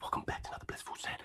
Welcome back to another Blissful Saturday.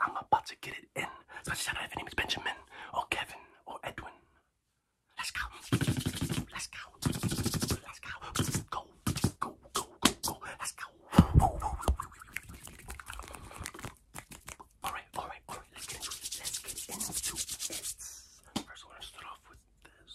I'm about to get it in. Especially shout out if your name is Benjamin or Kevin or Edwin. Let's go. Let's go. Let's go. Go. Go. Go. Go. Let's go. Alright, alright, alright. Let's get into it. First, we're gonna start off with this.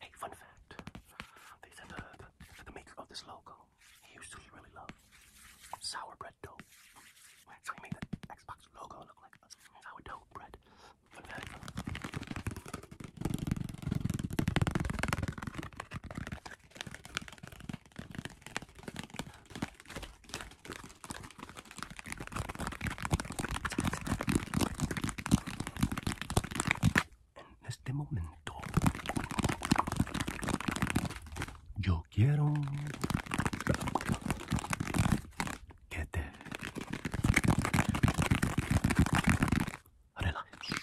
Hey, fun fact. They said the, the, maker of this logo, he used to really love sour bread dough. So he made the Xbox logo look like sour dough bread. En este momento yo quiero que te relajes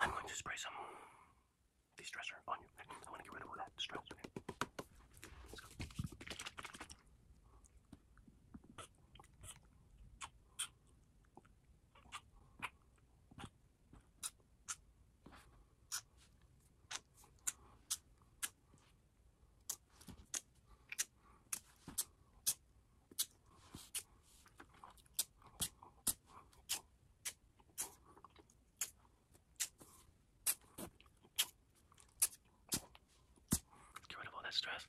I'm going to spray some de-stressor on you. I want to get rid of all that stress. Let's go. Get rid of all that stress.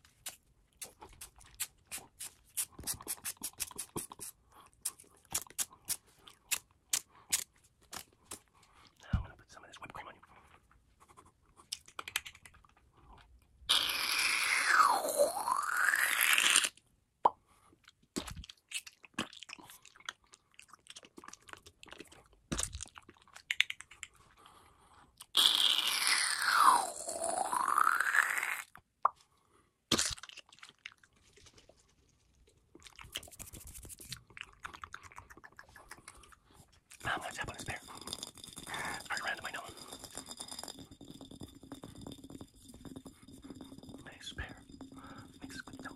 Now I'm going to put some of this whipped cream on you. I'm gonna tap on this bear. Right around my nose. Nice pear. Mixed with milk.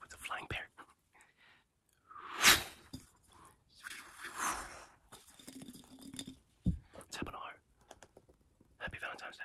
With the flying bear. Happy Valentine's Day.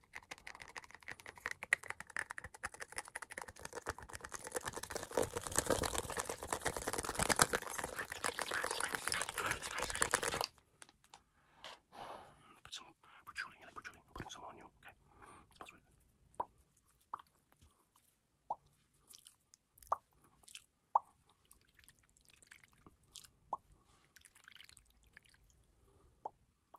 Put some protruding, like protruding, putting some on you, okay? That's right.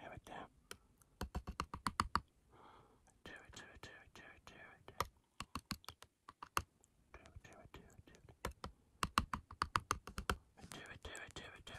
Here we go. Do it, do it, do it, do it, do it. Do it, do it, do it, do it. Do it, do it, do it, do it.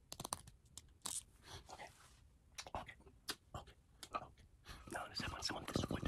Okay. Okay. Okay. Okay. Now let's have someone this one. Okay.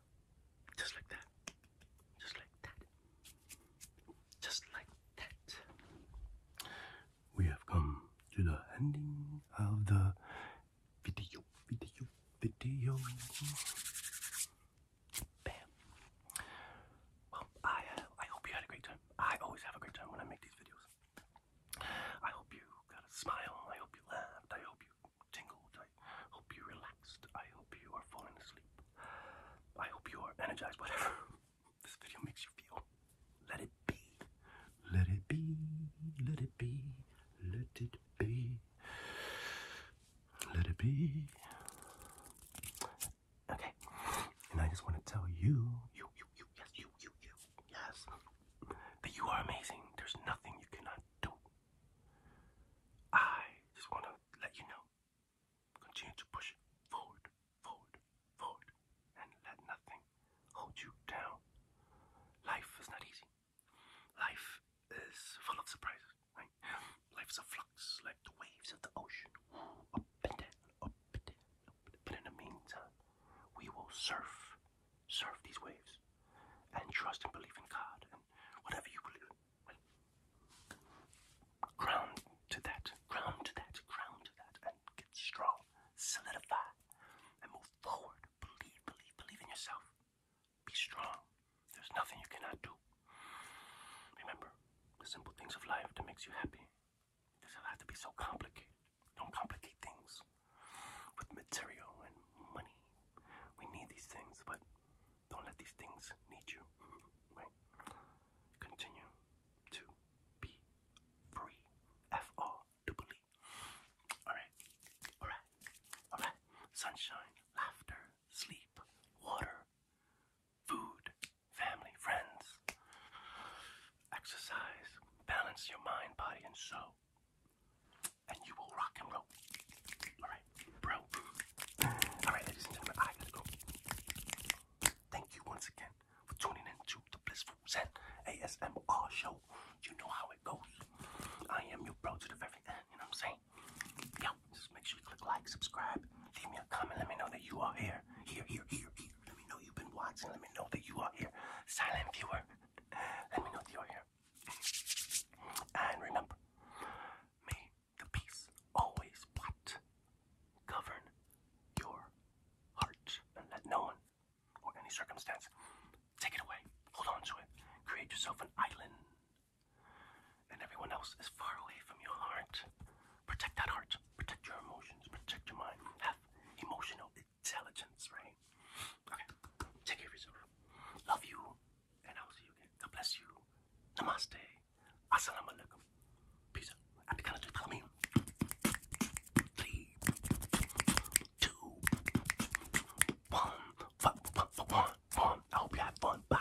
Just like that. Just like that. Just like that. We have come to the ending of the video, video, video. Bam. Well, I uh, I hope you had a great time. I always have a great time when I make these videos. I hope you got a smile. I hope you laughed. I hope you tingled. I hope you're relaxed. I hope you are falling asleep. I hope you are energized. Whatever this video makes you feel, let it be. Let it be. Let it be. Let it be. Let it be. Okay. And I just want to tell you, you, you, you, yes, you, you, you, yes, that you are amazing. There's nothing you cannot do. I just want to let you know. Continue to push forward, forward, forward, and let nothing hold you down. Life is not easy. Life is full of surprises, Life is a flux, like the waves of the ocean. Up and down, up and down, But in the meantime, we will surf, surf these waves, and trust and believe in God and whatever you believe Ground to that, ground to that, ground to that, and get strong, solidify, and move forward. Believe, believe, believe in yourself. Be strong. There's nothing you cannot do. Remember the simple things of life that makes you happy. doesn't have to be so complicated. Don't complicate things with material and money. We need these things, but don't let these things need you. Right? Continue to be free. F R Alright. Alright. Alright. Sunshine, laughter, sleep, water, food, family, friends. Exercise. Balance your mind, body, and soul and you will rock and roll. Alright, bro. Alright, ladies and gentlemen, Thank you once again for tuning in to the Blissful Zen ASMR show. You know how it goes. I am your bro to the very end, you know what I'm saying? just make sure you click like, subscribe, leave me a comment, let me know that you are here. Here, here, here, Let me know you've been watching, let me know that you are here. Silent viewer, let me know you're here. And remember, may the peace always what? Govern your heart and let no one or any circumstance take it away. Hold on to it. Create yourself an island. And everyone else is far away from your heart. Protect that heart. Protect your emotions. Protect your mind. Have emotional intelligence, right? Okay. Take care of yourself. Love you and I will see you again. God bless you. Namaste. Assalamu alaikum. Peace out. At the count of three, three, two, one, one, one, one, one. I hope you had fun. Bye.